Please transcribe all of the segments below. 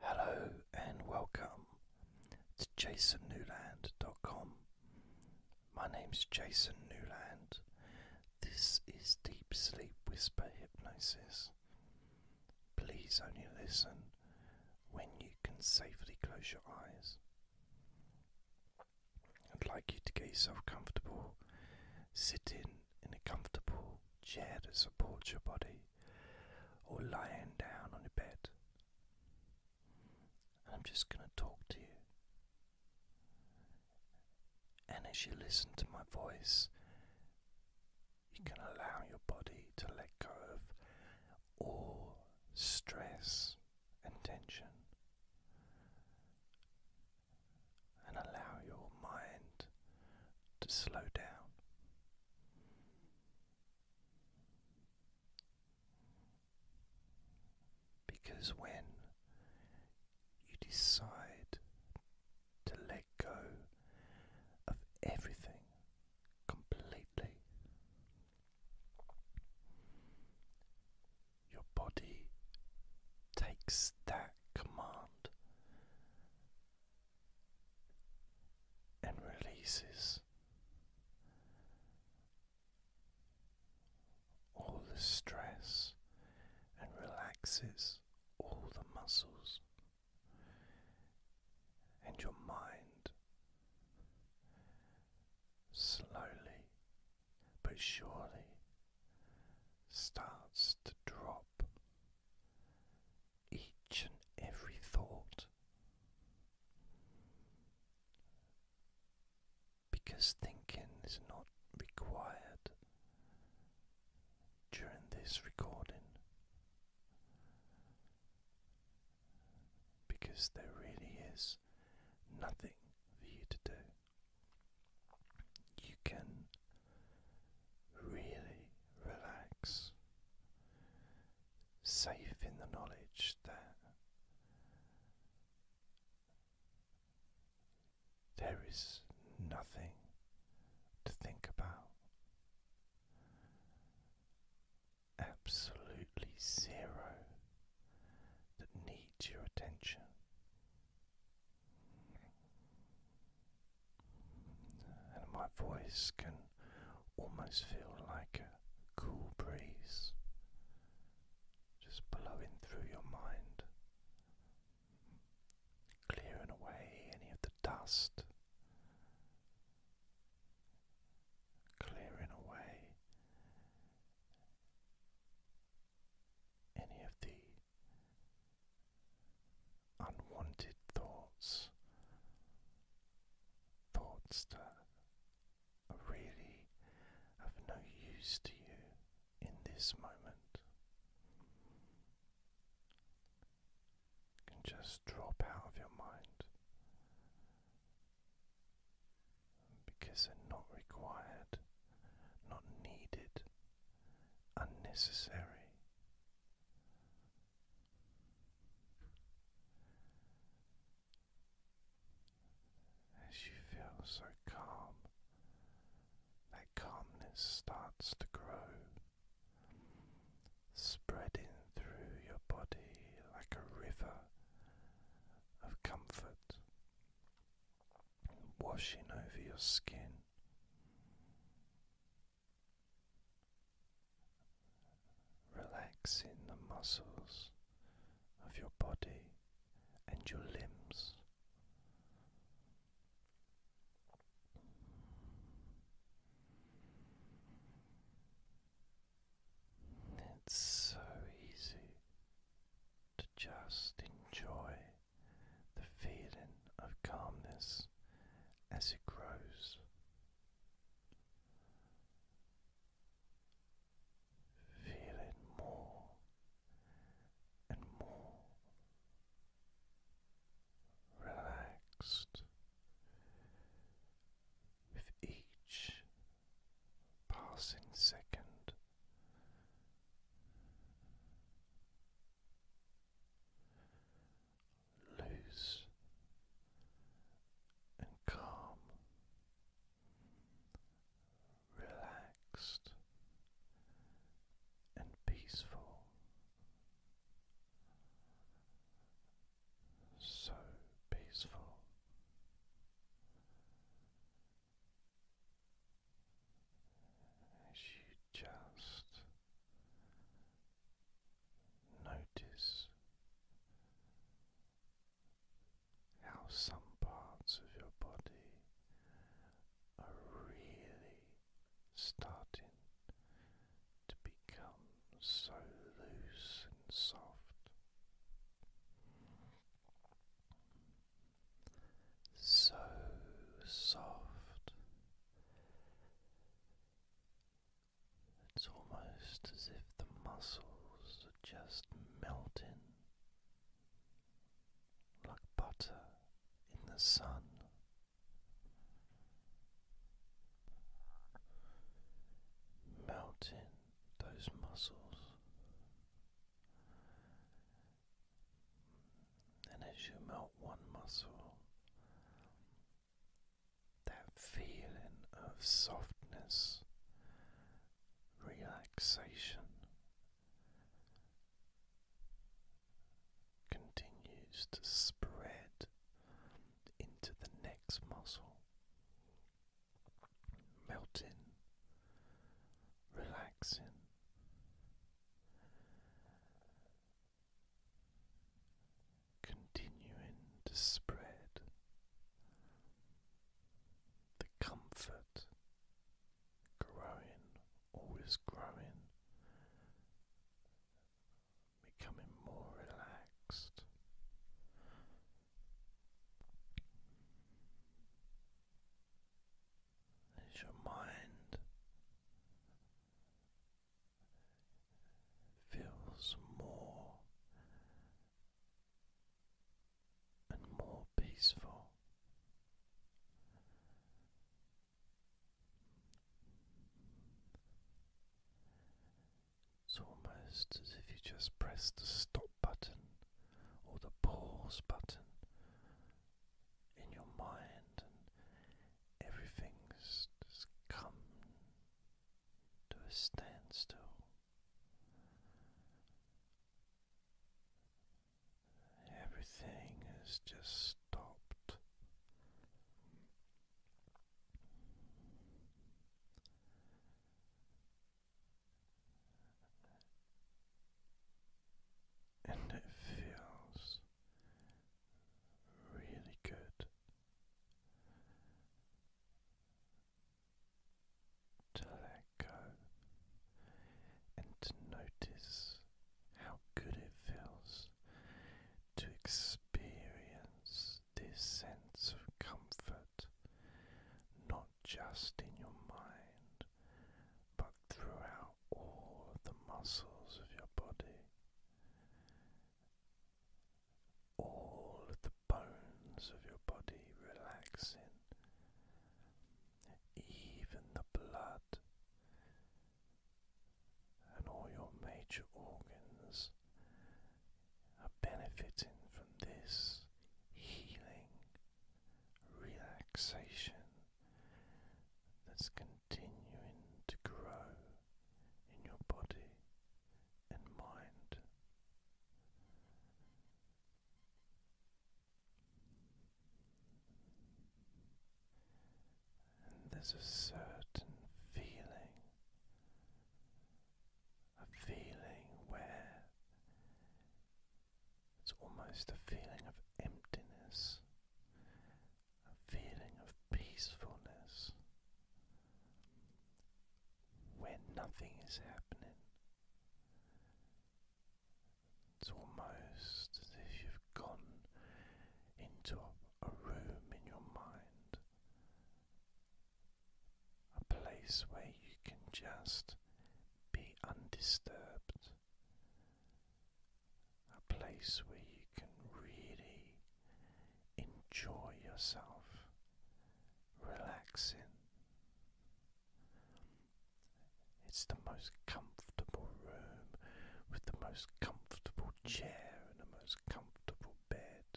Hello and welcome to jasonnewland.com. My name's Jason Newland. This is Deep Sleep Whisper Hypnosis. Please only listen when you can safely close your eyes. I'd like you to get yourself comfortable, sitting in a comfortable chair that supports your body or lying down on your bed. And I'm just going to talk to you. And as you listen to my voice, you can allow your body to let go of all stress and tension. And allow your mind to slow down because when you decide to let go of everything completely, your body takes that command and releases all the stress and relaxes all the muscles and your mind slowly but surely starts to drop each and every thought because thinking is not required during this recording because there really is nothing for you to do. You can really relax, safe in the knowledge that there is nothing to think about. Absolutely zero that needs your attention and my voice can almost feel like a cool breeze just blowing through your mind, clearing away any of the dust, clearing away any of the unwanted thoughts, thoughts that really of no use to you in this moment. can just drop out of your mind because they're not required, not needed, unnecessary. As you feel so calm, that calmness starts to grow, spreading through your body like a river of comfort, washing over your skin, relaxing the muscles of your body and your limbs. It's so easy to just enjoy the feeling of calmness as it grows. Feel more and more relaxed with each passing second loose and calm, relaxed and peaceful. So peaceful. As you just Notice how some parts of your body are really starting to become so loose and soft. So soft it's almost as if the muscles are just melting like butter in the sun. Melting those muscles, and as you melt one muscle, that feeling of softness, relaxation continues to spread into the next muscle, melting, relaxing continuing to spread the comfort, growing, always growing, becoming more relaxed. As your mind feels more and more peaceful. It's almost as if you just press the stop button or the pause button in your mind, and everything's just come to a standstill. Everything has just stopped. And it feels really good. To let go and to notice how good it feels to experience this sense of comfort, not just in your mind, but throughout all of the muscles of your body, all of the bones of your body relaxing, even the blood and all your major organs are benefiting from this healing relaxation that's continuing to grow in your body and mind. And there's a certain feeling, a feeling where it's almost a feeling of emptiness, a feeling of peacefulness when nothing is happening. It's almost as if you've gone into a room in your mind, a place where you can just be undisturbed a place where you can really enjoy yourself, relaxing. It's the most comfortable room with the most comfortable chair and the most comfortable bed.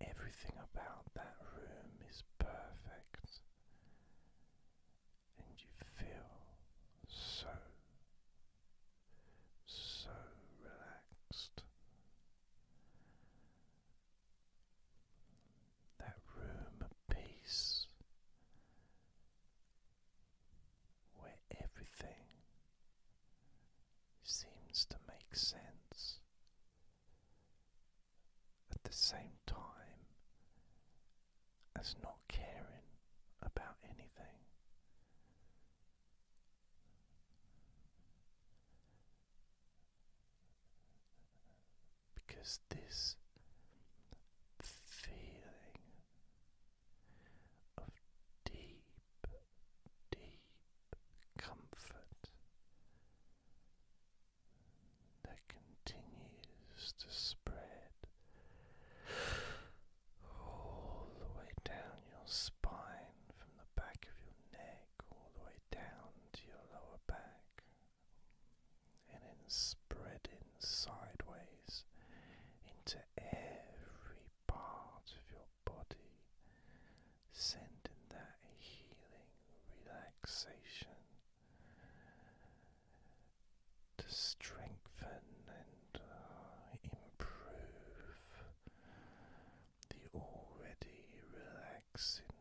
Everything about that room is perfect and you feel so, so relaxed. That room of peace where everything seems to make sense at the same time as not caring about anything. Because this feeling of deep, deep comfort that continues to spread all the way down your spine from the back of your neck all the way down to your lower back and then spreading sideways into every part of your body sending that healing relaxation to strengthen and uh, improve the already relaxing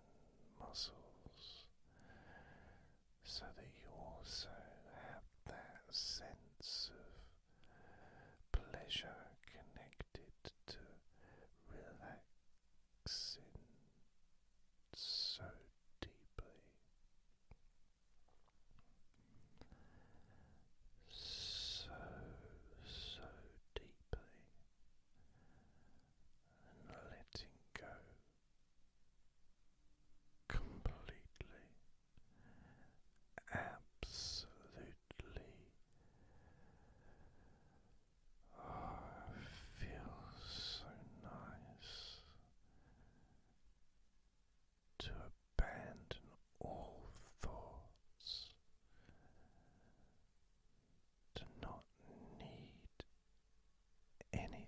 muscles so that you also have that sense of pleasure connected to relax so deeply. So, so deeply, and letting go completely, absolutely. Oh, feels so nice to abandon all thoughts, to not need anything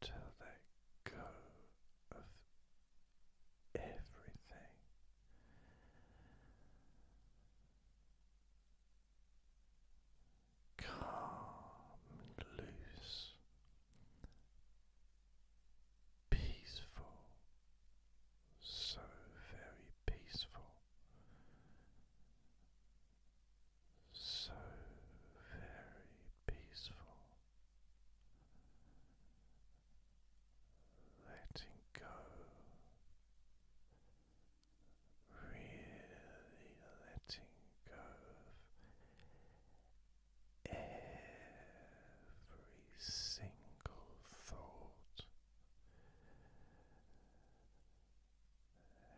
to let go of everything. Calm and loose, peaceful, so very peaceful, so very peaceful letting go, really letting go of every single thought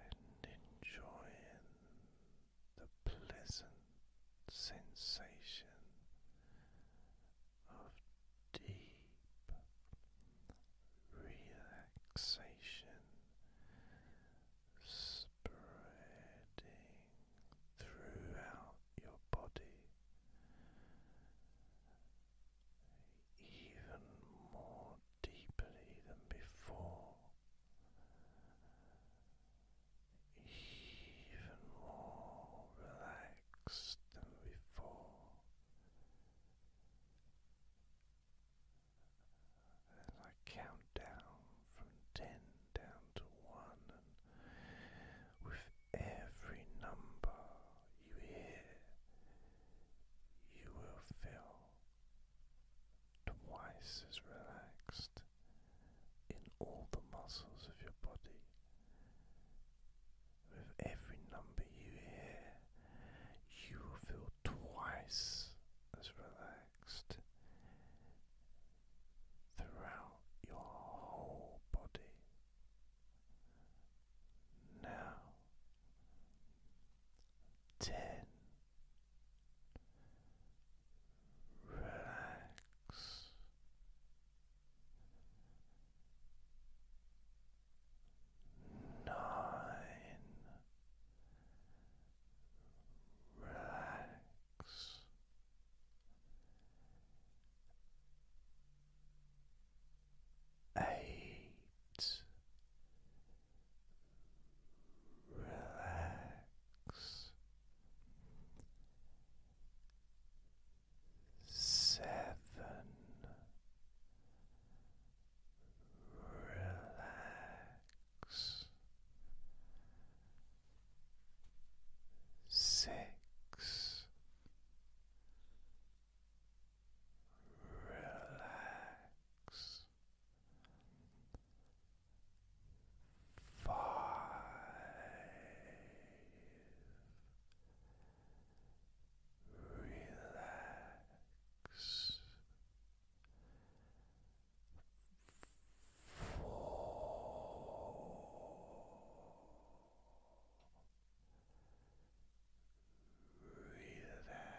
and enjoying the pleasant sensation of deep relaxation spreading throughout your body. Even more deeply than before, even more relaxed than before. As I count down from ten down to one, and with every number you hear, you will feel twice as relaxed in all the muscles of your body. With every number you hear, you will feel twice as relaxed throughout your whole body. Now, ten relax. Nine, relax. Eight, relax. Seven relax six relax five. Relax. Four. Relax.